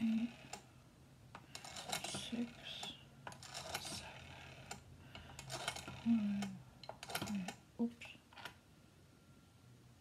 Eight, six, seven, nine, hmm. nine, oops.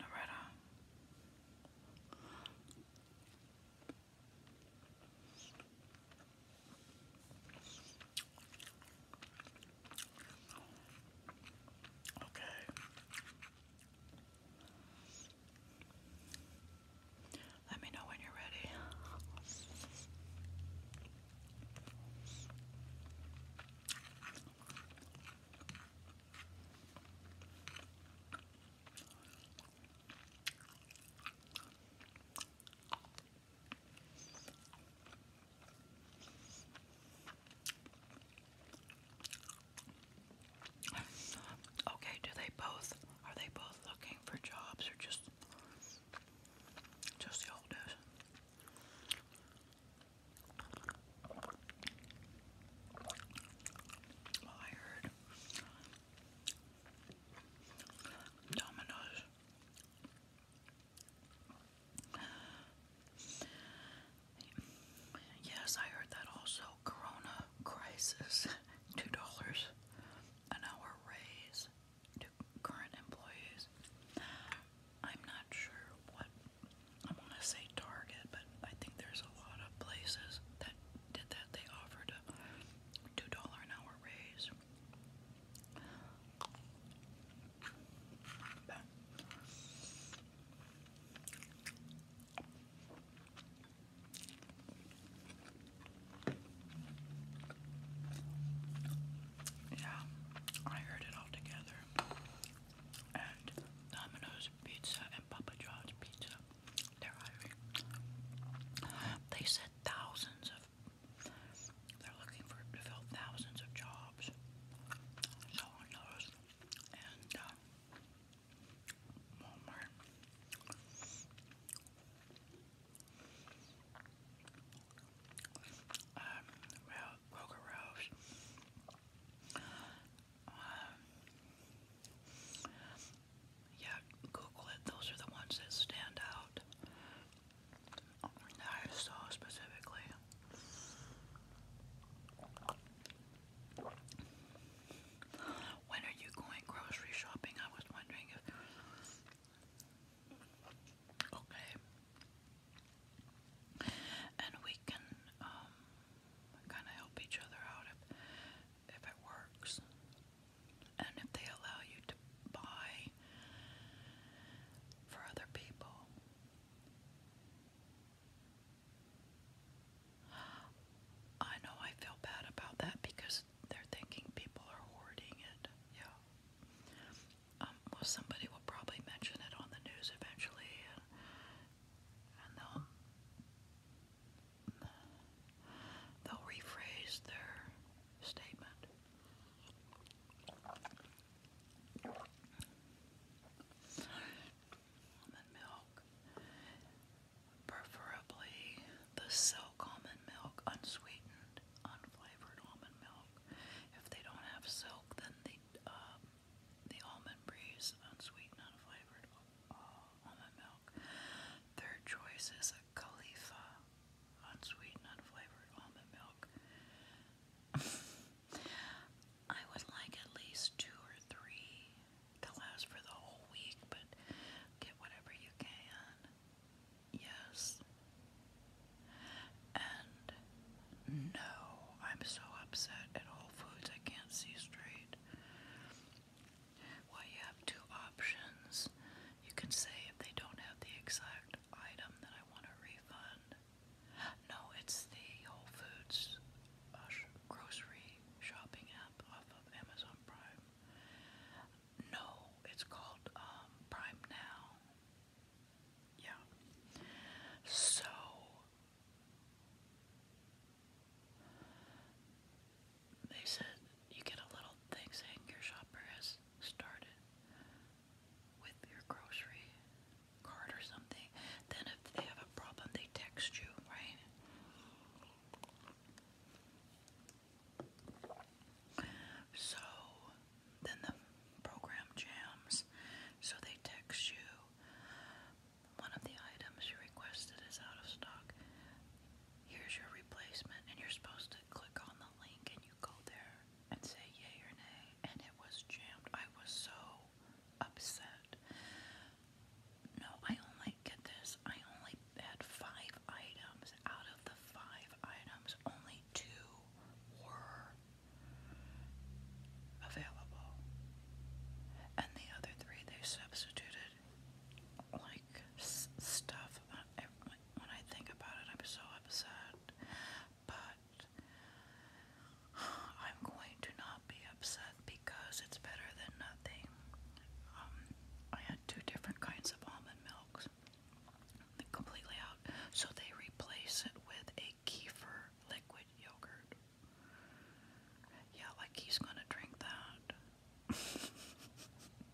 Loretta. Okay. Let me know when you're ready. Okay, do they both are they both looking for jobs or just just the oldest? I heard Domino's Yes, I heard that also. Corona crisis, two dollars an hour raise to current employees. I'm not sure what I want to say Target, but I think there's a lot of places that did that. They offered a $2 an hour raise. yeah, I heard it all together and Domino's Pizza and Papa John's Pizza. They're hiring. They said thousands of. They're looking for to fill thousands of jobs. So on those, and um, Walmart um, well, Coca Rose, um, yeah, Google it, those are the ones that stand out, that I saw specifically. When are you going grocery shopping? I was wondering if. Okay, and we can um, kind of help each other out if, if it works. And if they allow you to buy for other people, I know I feel bad about that because they're thinking people are hoarding it. Yeah um, well, somebody will probably mention it on the news eventually, and, they'll they'll rephrase their statement. And milk, preferably the silk almond milk, unsweetened, unflavored almond milk. If they don't have silk, then the uh, the almond breeze, unsweetened, unflavored all uh, almond milk. Third choice is a Khalifa, unsweetened, unflavored almond milk. I would like at least two or three to last for the whole week, but get whatever you can. Yes. And no, I'm so upset at Whole Foods I can't see straight. Well, you have two options. You can say if they don't have the exact item that I want a refund. No, it's the Whole Foods uh, grocery shopping app off of Amazon Prime. No, it's called um, Prime Now. Yeah. So they said you get a little thing saying your shopper has started with your grocery card or something. Then if they have a problem, they text you, right? So then the program jams, so they text you one of the items you requested is out of stock. Here's your replacement, and you're supposed to click on the link and you go there and say yay or nay. And it was jammed. I was so upset. No, I only get this. I only had five items. Out of the five items, only two were available. And the other three they substituted like stuff. When I think about it, I'm so upset. But I'm going to not be upset because it's better than nothing. Um, I had two different kinds of almond milks completely out, so they replace it with a a kefir liquid yogurt. Yeah, like he's gonna drink that.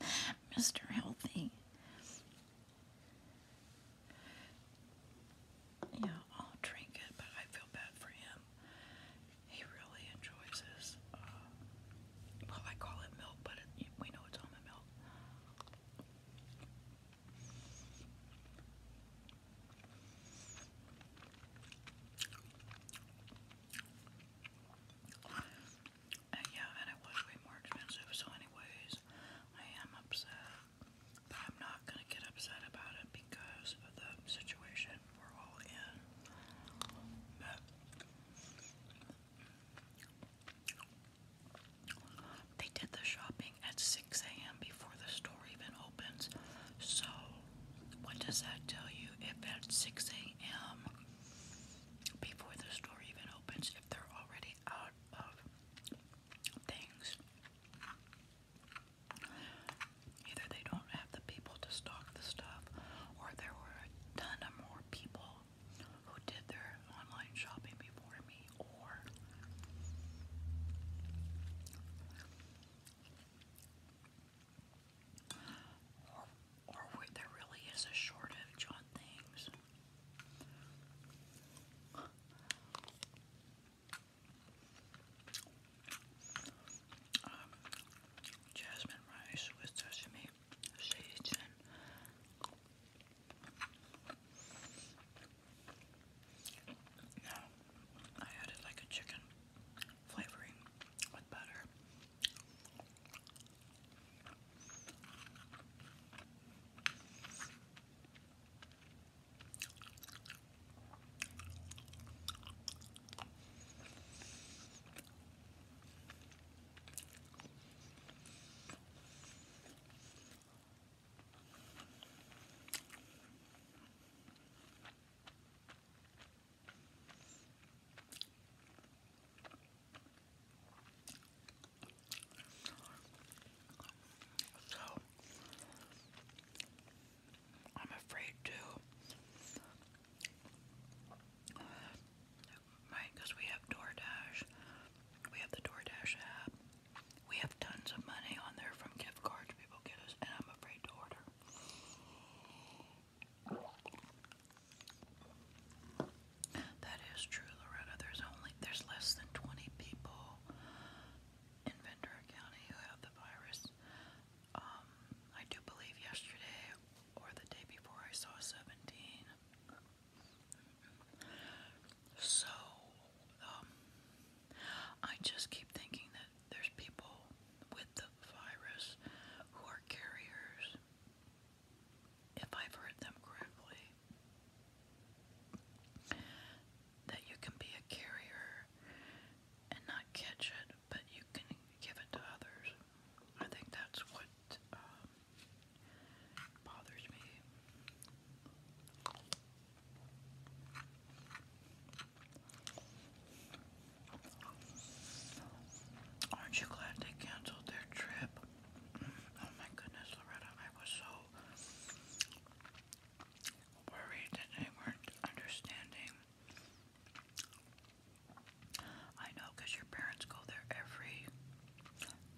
Mr. Healthy. Yeah, I'll drink it, but I feel bad for him. He really enjoys his, uh, well, I call it milk, but it, we know it's almond milk. Uh, yeah, and it was way more expensive, so anyways, I am upset, but I'm not gonna get upset about it because of the situation we're all in, they did the shopping at 6 a.m. before the store even opens. So, what does that tell you? If at 6 a.m. before the store even opens, if they're already out of things, either they don't have the people to stock the stuff, or there were a ton of more people who did their online shopping before me or or, or there really is a shortage on things. Um, jasmine rice with sesame seeds and now, I added like a chicken flavoring with butter. So I'm afraid to right because we have DoorDash. We have the DoorDash app. We have tons of money on there from gift cards people get us, and I'm afraid to order. That is true, Loretta. There's only there's less than 20 people in Ventura County who have the virus. Um, I do believe yesterday or the day before I saw 17. So um, I just keep thinking that there's people with the virus who are carriers, if I've heard them correctly. That you can be a carrier and not catch it, but you can give it to others. I think that's what um, bothers me. Aren't you glad they canceled their trip? Mm, oh my goodness, Loretta, I was so worried that they weren't understanding. I know, your parents go there every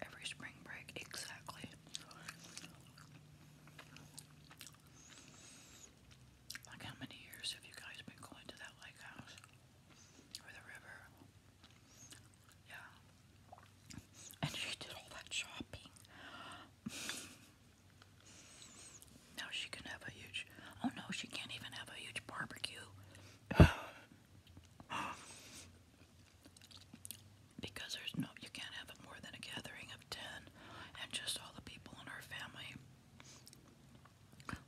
every spring break, exactly. Like, how many years have you guys been going to that lake house? Or the river? Yeah. And she did all that shopping. now she can have a huge. Oh no, she can't even have a huge barbecue. because there's no. You can't have it more than a gathering ten, and just all the people in her family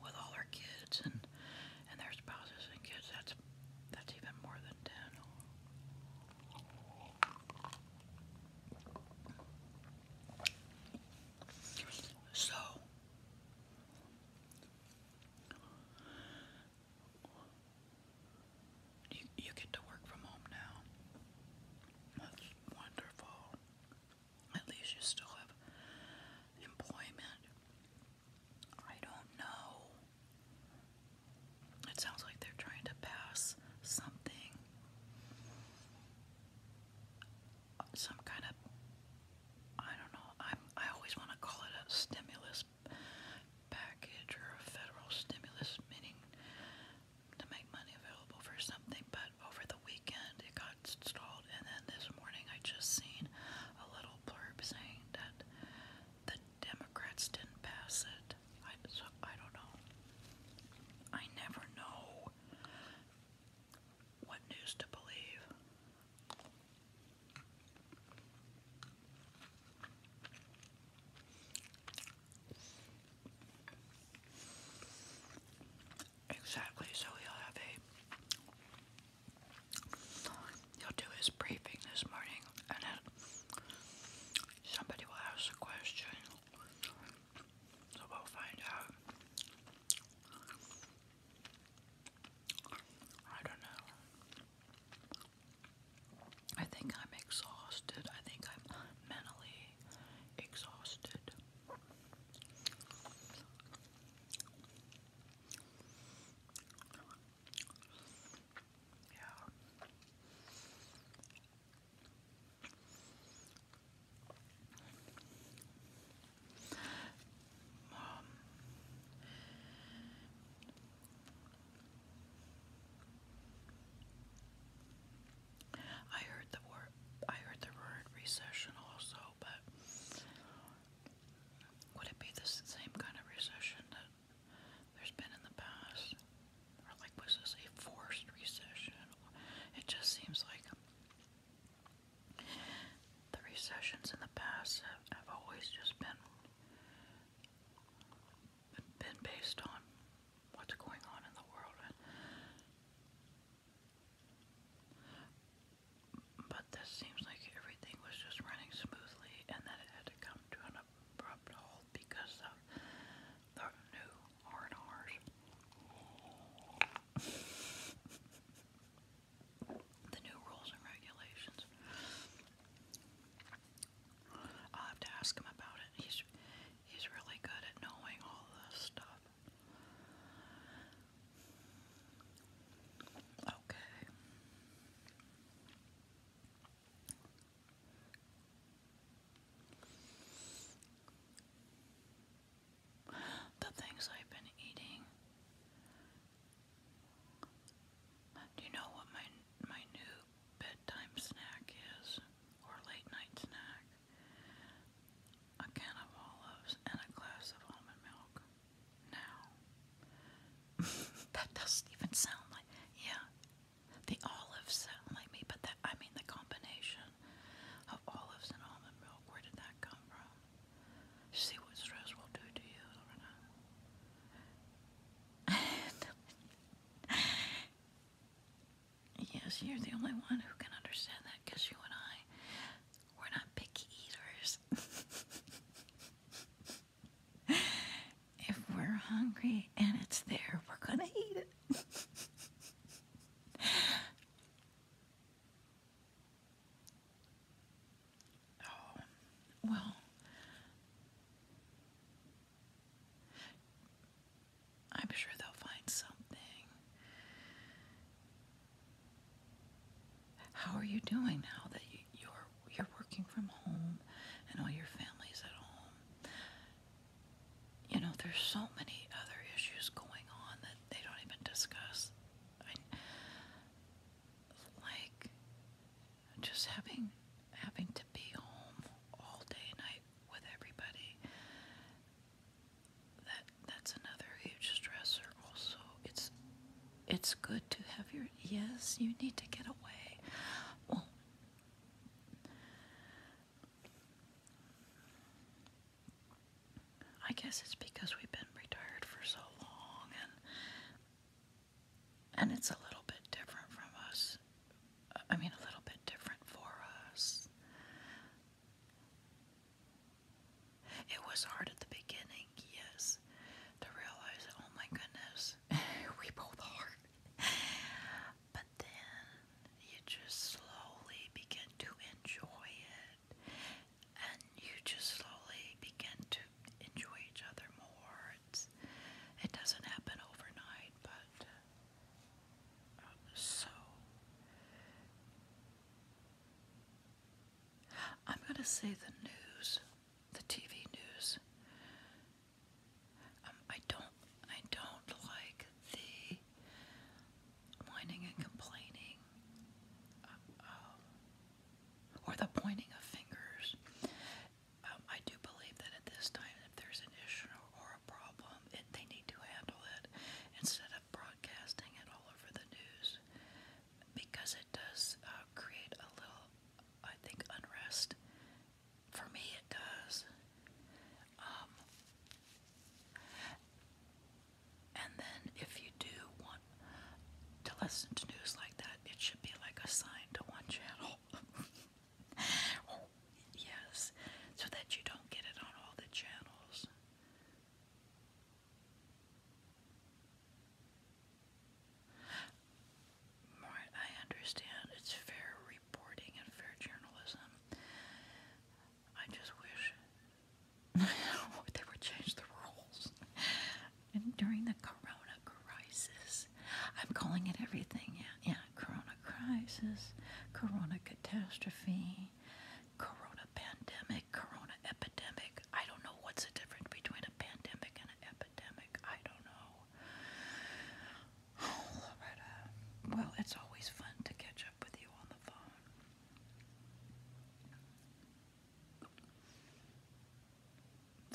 with all her kids and and their spouses and kids. That's that's even more than ten. So you get to work from home now. That's wonderful. At least you still have employment. I don't know. It sounds like they're trying to pass something. Some kind of I don't know. I'm I always want to call it a stimulus package or a federal stimulus meaning to make money available for something, but over the weekend it got stalled, and then this morning I just seen a little blurb saying that the Democrats didn't pass it. I, so I don't know. I never know what news to believe. Exactly, so he'll have a. He'll do his briefing this morning, and then somebody will ask a question. So we'll find out. I don't know. I think I'm exhausted. I think I'm mentally exhausted. Yeah. I heard the word I heard the word recession also, but would it be the same kind of recession that there's been in the past? Or like was this a forced recession? It just seems like the recessions in the past have, always just been been based on what's going on in the world. But this seems like everything was just running smoothly and that it had to come to an abrupt halt because of the new r the new rules and regulations. I'll have to ask him about it. He's he's really good at knowing all this stuff. Okay. The things I've been eating. Do you know what my my new bedtime snack is or late night snack? a can of olives, and a glass of almond milk. Now, that doesn't even sound like, yeah, the olives sound like me, but that, I mean, the combination of olives and almond milk, where did that come from? See what stress will do to you, Lorna. Yes, you're the only one who can understand that because you and I, we're not picky eaters. if we're hungry and it's there, we're going to eat it. oh, well. I'm sure they'll find something. How are you doing now that you, are you're working from home and all your family's at home? You know, there's so many other issues going on that they don't even discuss. like just having having to be home all day and night with everybody that that's another huge stressor also it's it's good to have your yes you need to get away well I guess it's because we've been retired for so long and and it's a little bit different from us I mean a little bit different for us it was hard at the beginning, yes, to realize, oh my goodness, we both are. but then you just slowly begin to enjoy it, and you just slowly begin to enjoy each other more. it doesn't happen overnight, but so I'm going to say the news, the TV news. Um, I don't, I don't like the whining and complaining, uh, um, or the pointing of fingers. Um, I do believe that at this time, if there's an issue or a problem, they need to handle it instead of broadcasting it all over the news because it does uh, create a little, I think, unrest. For me, it does. Um, and then, if you do want to listen to news like that, it should be like assigned to one channel. Oh, yes, so that you don't get it on all the channels. Right, I understand it's fair reporting and fair journalism. I just wish they would change the rules. And during the Corona crisis, I'm calling it everything. Yeah, yeah. Corona crisis, Corona catastrophe, corona pandemic, corona epidemic. I don't know what's the difference between a pandemic and an epidemic. I don't know. Well, it's always fun to catch up with you on the phone.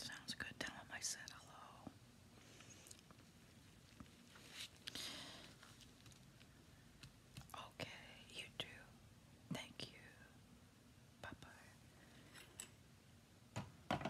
Sounds good. Tell him I said hello. Okay, you too. Thank you. Bye bye.